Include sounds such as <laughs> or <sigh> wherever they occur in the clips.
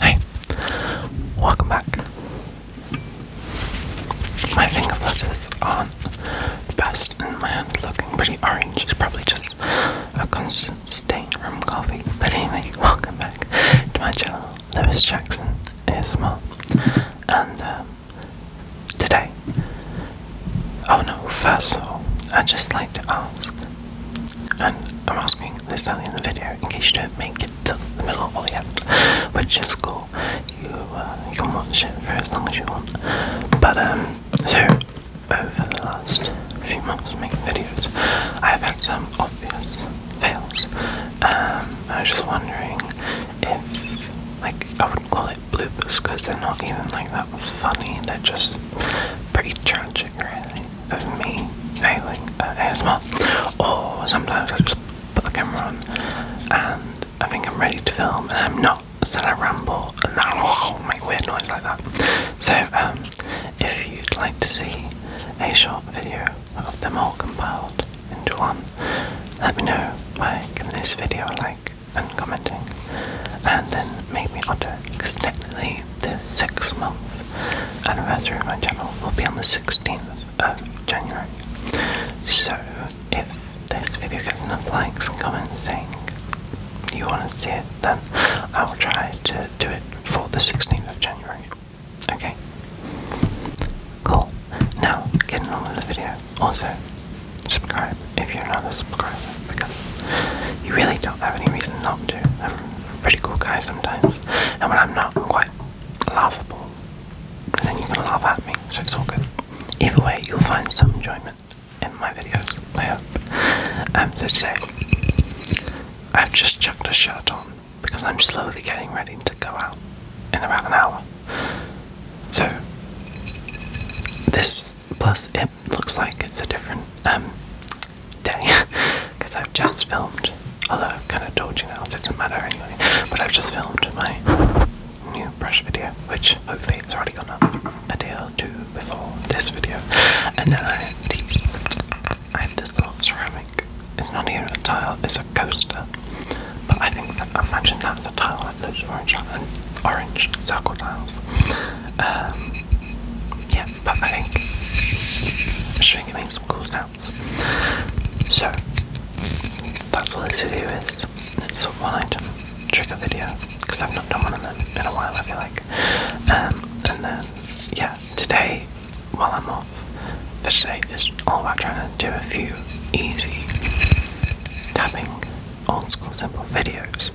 Hey, welcome back. My fingers this are the best, and my hand's looking pretty orange. It's probably just a constant stain from coffee. But anyway, <laughs> welcome back to my channel, Lewis Jackson ASMR. And um, today, oh no, first of all, I'd just like to ask and I'm asking this in the video in case you don't make it to the middle of the end, which is cool. You uh, you can watch it for as long as you want. But um, so over the last few months of making videos, I've had some obvious fails. Um, I was just wondering if, like, I wouldn't call it bloopers because they're not even like that funny. They're just pretty tragic, really of me nailing uh, ASMR, or sometimes I just put the camera on and I think I'm ready to film and I'm not, so I ramble and that'll <laughs> make weird noise like that. So, um, if you'd like to see a short video of them all compiled into one, let me know by giving this video a like and commenting, and then maybe I'll do it because technically anniversary. The six month anniversary of my channel will be on the 16th of January. So, if this video gets enough likes and comments saying you want to see it, then I will try to do it for the 16th of January. Okay? Cool. Now, get on with the video. Also, subscribe if you're not a subscriber because you really don't have any reason not to. I'm a pretty cool guy sometimes, and when I'm not, I'm quite laughable, and then you can laugh at me, so it's all good. Either way, you'll find some enjoyment in my videos, I hope. Um, so today, I've just chucked a shirt on because I'm slowly getting ready to go out in about an hour. So, this plus it looks like it's a different um, day because <laughs> I've just filmed. Although I've kind of told you now, it doesn't matter anyway. But I've just filmed my new brush video, which hopefully it's already gone up a day or two before this video. And then I have this little ceramic. It's not even a tile, it's a coaster. But I think that, I imagine that's a tile like those orange, orange circle tiles. Um, yeah, but I think I'm showing you make some cool sounds. So that's all this video is. It's a one item trigger video because I've not done one of them in a while. I feel like, um, and then yeah, today while I'm off, for today is all about trying to do a few easy tapping old school simple videos.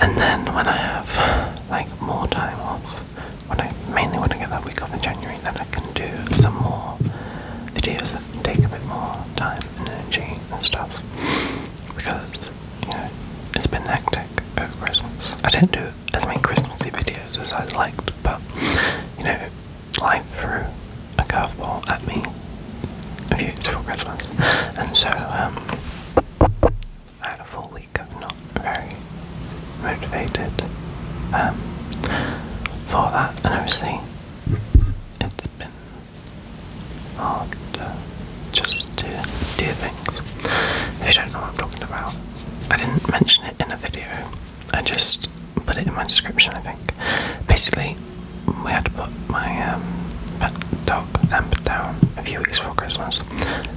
And then when I have like more time off, when I mainly when I get that week off in January, then I can do some more videos that take a bit more time and energy and stuff. Because, you know, it's been hectic over Christmas. I didn't do as many Christmassy videos as I'd liked, but you know, life threw a curveball at me a few weeks before Christmas. And so, um I had a full week of not very motivated um, for that, and obviously it's been hard just to do things. If you don't know what I'm talking about, I didn't mention it in a video. I just put it in my description. I think basically we had to put my um, pet dog down a few weeks for Christmas,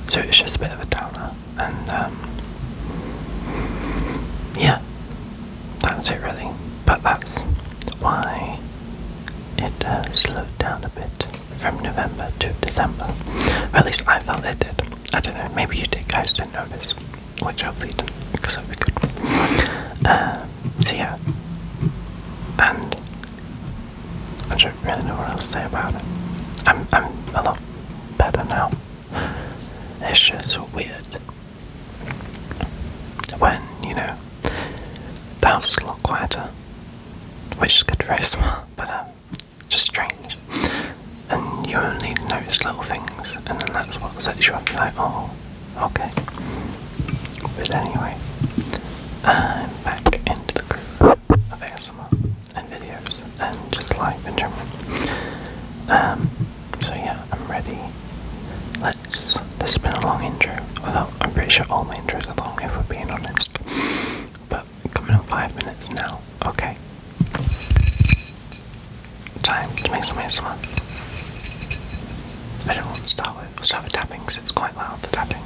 so it's just a bit of a downer. And um, yeah, that's it really. But that's why it has slowed down a bit from November to December. at least I felt it did. I don't know, maybe you did, guys didn't notice, which i didn't, because that would be good. Uh, so yeah, and I don't really know what else to say about it. I'm I'm a lot better now. It's just weird when you know the house is a lot quieter, which is good, for us, <laughs> but um, just strange. And you only notice little things, and then that's what sets you off. like, oh, okay. But anyway, I'm back into the groove of ASMR and videos and just life in general. Um, so yeah, I'm ready. Let's, this has been a long intro, although I'm pretty sure all my intros are long if we're being honest. But coming in five minutes now, okay. Time to make some ASMR. I don't want to start with, start with tapping because it's quite loud, the tapping.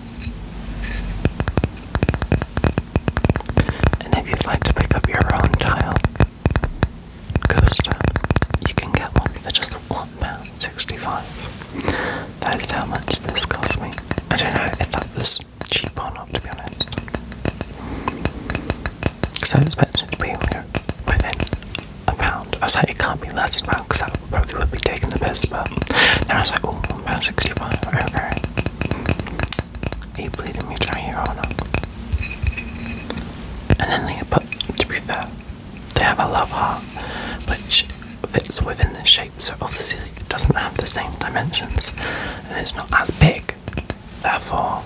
And if you'd like to pick up your own tile coaster, you can get one for just £1.65. That is how much this cost me. I don't know if that was cheap or not, to be honest. Because I expected it to within a pound. I was like, it can't be less than a because that probably would be taking the piss, but then I was like, oh, about 65, okay. He bleeding me down here, And then they put, to be fair, they have a love heart, which fits within the shape, so obviously doesn't have the same dimensions, and it's not as big. Therefore,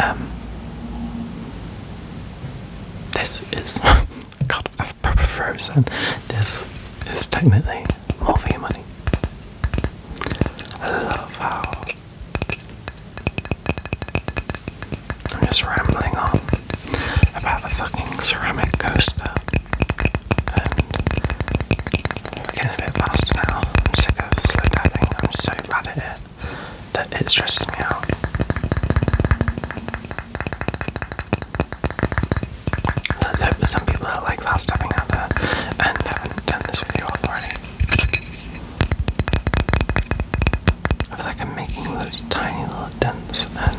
um, this is <laughs> God, frozen. This is technically more for your money. I love how I'm just rambling on about the fucking ceramic coaster. And we're getting a bit fast now. I'm sick of slow diving. I'm so bad at it that it stresses me out. Let's hope some people like fast tapping out there and haven't done this video already. I feel like I'm making those tiny little dents and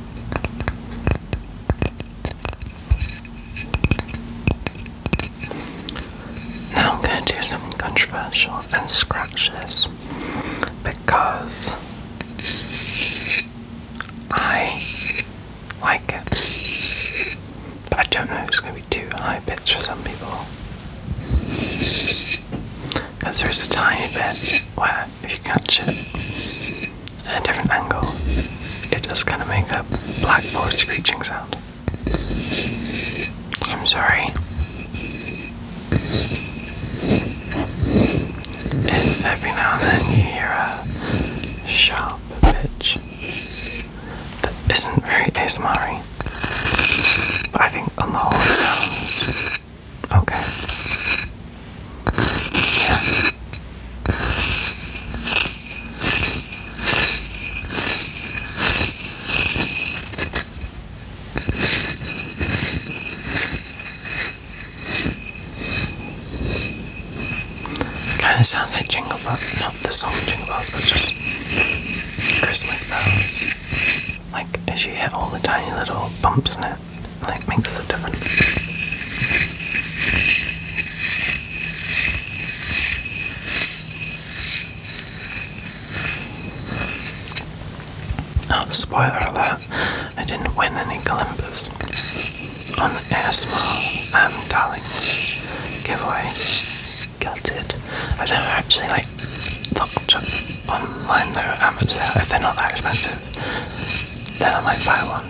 Now I'm going to do something controversial and scratch this because I like it. But I don't know if it's going to be too high pitched for some people. Because there's a tiny bit where if you catch it at a different angle, it just kind of makes a blackboard screeching sound. I'm sorry. If every now and then you hear a sharp pitch that isn't very ASMR but I think on the whole Okay. Yeah. Kind of sounds like jingle bells, not the song jingle bells, but just Christmas bells. Like, as you hit all the tiny little bumps in it that makes a difference. Oh, spoiler alert, I didn't win any Olympus on the ASMR um, Darling giveaway. it. I never actually like looked online though, amateur, if they're not that expensive. Then I might buy one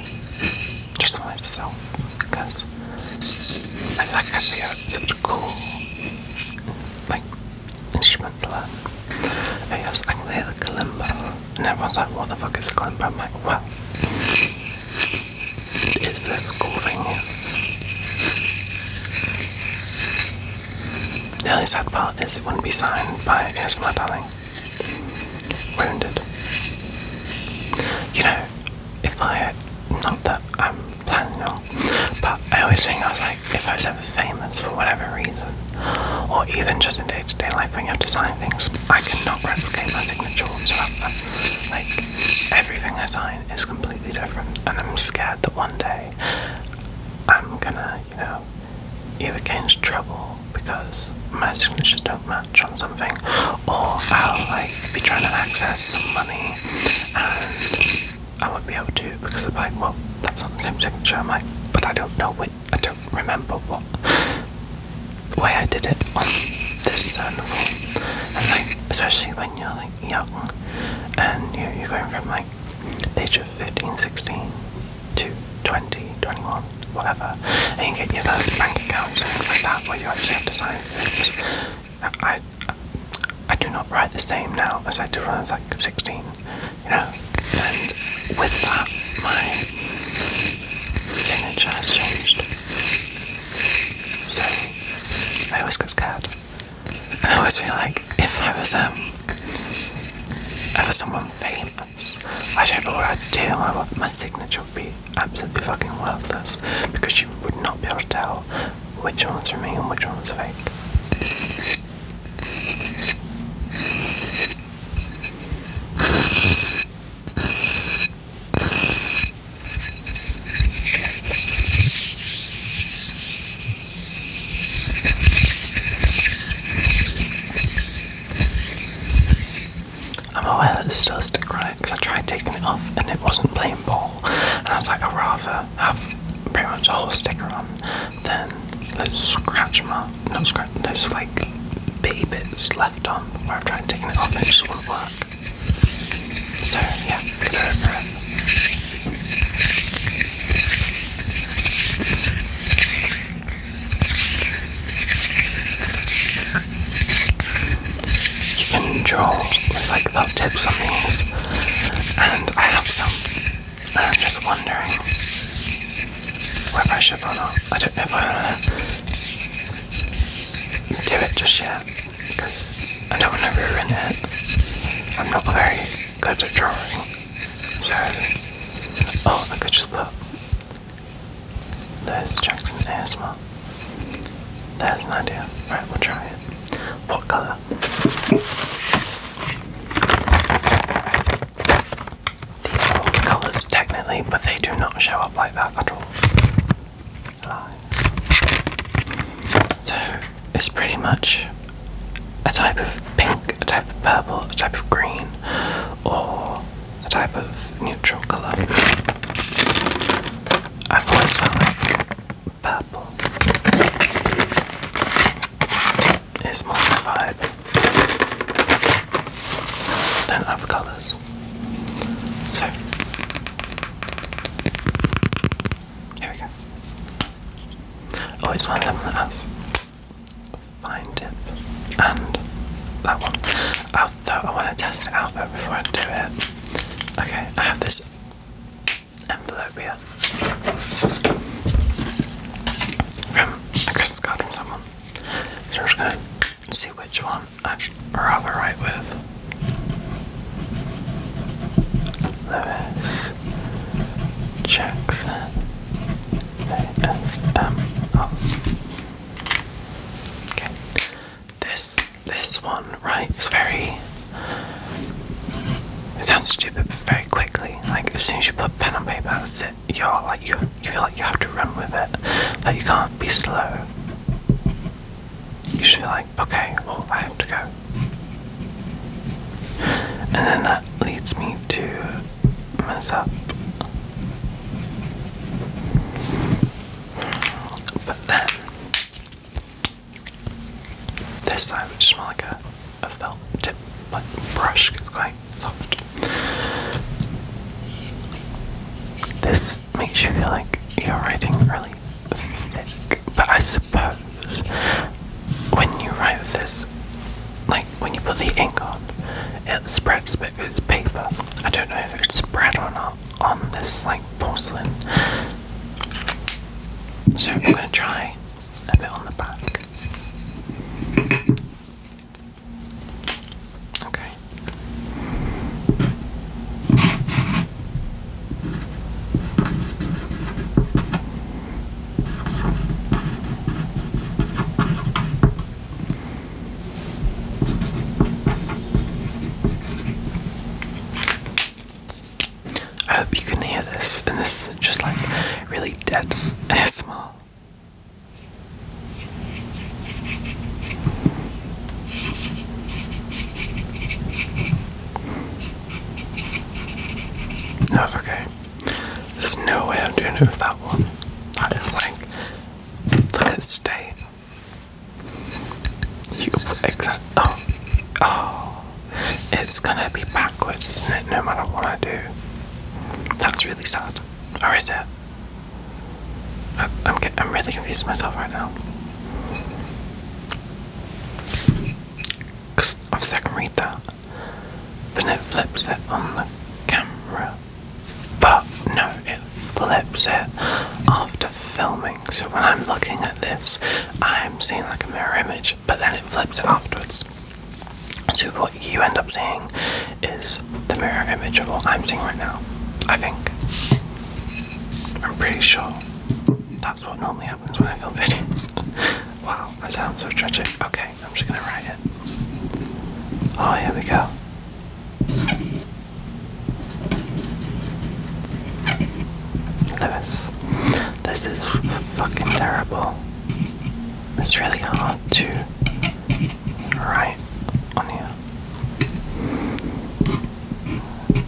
just for myself because I like I think it's such a cool like instrument to learn. I yes, I can play the kalimba, and everyone's like, "What the fuck is a kalimba?" I'm like, "Well, is this cool thing here?" The only sad part is it wouldn't be signed by ASMR Darling. Wounded. You know, if I had, not that I'm planning on, but I always think I was like, if I was ever famous for whatever reason, or even just in day to day life when you have designing things, I cannot replicate my signature whatsoever. Like, everything I sign is completely different, and I'm scared that one day I'm gonna, you know, you're either get trouble because my signatures don't match on something, or I'll like be trying to access some money and I won't be able to because I'm like, well, that's not the same signature. I'm but I don't know which, I don't remember what way I did it on this certain And like, especially when you're like young and you're, you're going from like age of 15, 16, 2, 20, 21, whatever, and you get your first bank account and things like that where you actually have to sign I, I, do not write the same now as I did when I was like 16, you know, and with that, my signature has changed. So, I always get scared. And I always feel like if I was um Ever someone famous, I don't know what I'd do. I, my signature would be absolutely fucking worthless because you would not be able to tell which one's from me and which one's fake. I'm aware that there's still a stick on because I tried taking it off and it wasn't playing ball. And I was like, I'd rather have pretty much a whole sticker on than those scratch marks, No scratch, There's like baby bits left on where I've tried taking it off and it just wouldn't work. So yeah, you can draw with like felt tips on these, and I have some. And I'm just wondering whether I should or not. I don't know if I want to do it just yet because I don't want to ruin it. I'm not a very because they drawing. Sorry. Oh, look at just look. That is Jackson's asthma. That's an idea. Right, we'll try it. What color? These are all colors technically, but they do not show up like that at all. So is pretty much a type of pink, a type of purple, a type of green, or a type of neutral colour. I've always felt purple is more my vibe than other colours. So, here we go. Always oh, find them with us. Find it, And that one. Oh, I want to test it out but before I do it. Okay, I have this envelope here. From a Christmas card from someone. So I'm just going to see which one I'd rather write with. Lewis. Jackson ASMR. Okay. This this one, right, it's very it sounds stupid but very quickly. Like as soon as you put pen on paper that's it. You're like you you feel like you have to run with it. Like you can't be slow. You should feel like, okay, well I have to go. <laughs> And then that leads me to mess up. But then, this side, which smells like a, felt tip, like brush, it's quite soft. This makes you feel like you're writing really thick but I suppose when you write this, like when you put the ink on, it spreads because it's paper. I don't know if it's spread or not on this like porcelain. So I'm gonna try a bit on the back. Okay. I hope you can hear this, and this is just like really dead ASMR. <laughs> No. okay. There's no way I'm doing it with that one. That is like, look at its You exact. Oh, oh, it's gonna be backwards, isn't it? No matter what I do. That's really sad. Or is it? I, am I'm really confused myself right now. I've second read that. Then it flips it on the camera. But no, it flips it after filming. So when I'm looking at this, I'm seeing like a mirror image, but then it flips it afterwards. So what you end up seeing is the mirror image of what I'm seeing right now. I think. I'm pretty sure that's what normally happens when I film <laughs> videos. Wow, that sounds so tragic. Okay, I'm just gonna write it. Oh, here we go. Lewis, this is fucking terrible. It's really hard to write on here.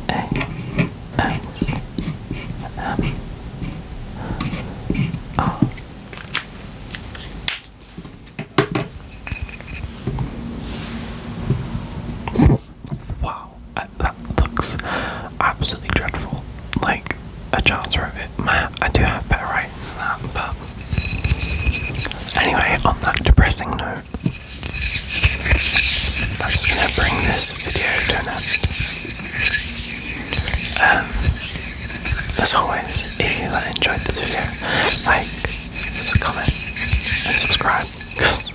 A Wow, that looks absolutely dreadful. Like a chance wrote it. Man, I do have better writing than that, but anyway, on that depressing note. I'm just gonna bring this video to an end. as always, if you enjoyed this video, like, comment, and subscribe, because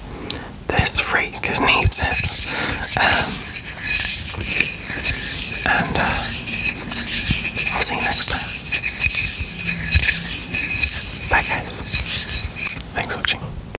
this freak needs it. Um, and uh, I'll see you next time. Bye, guys. Thanks for watching.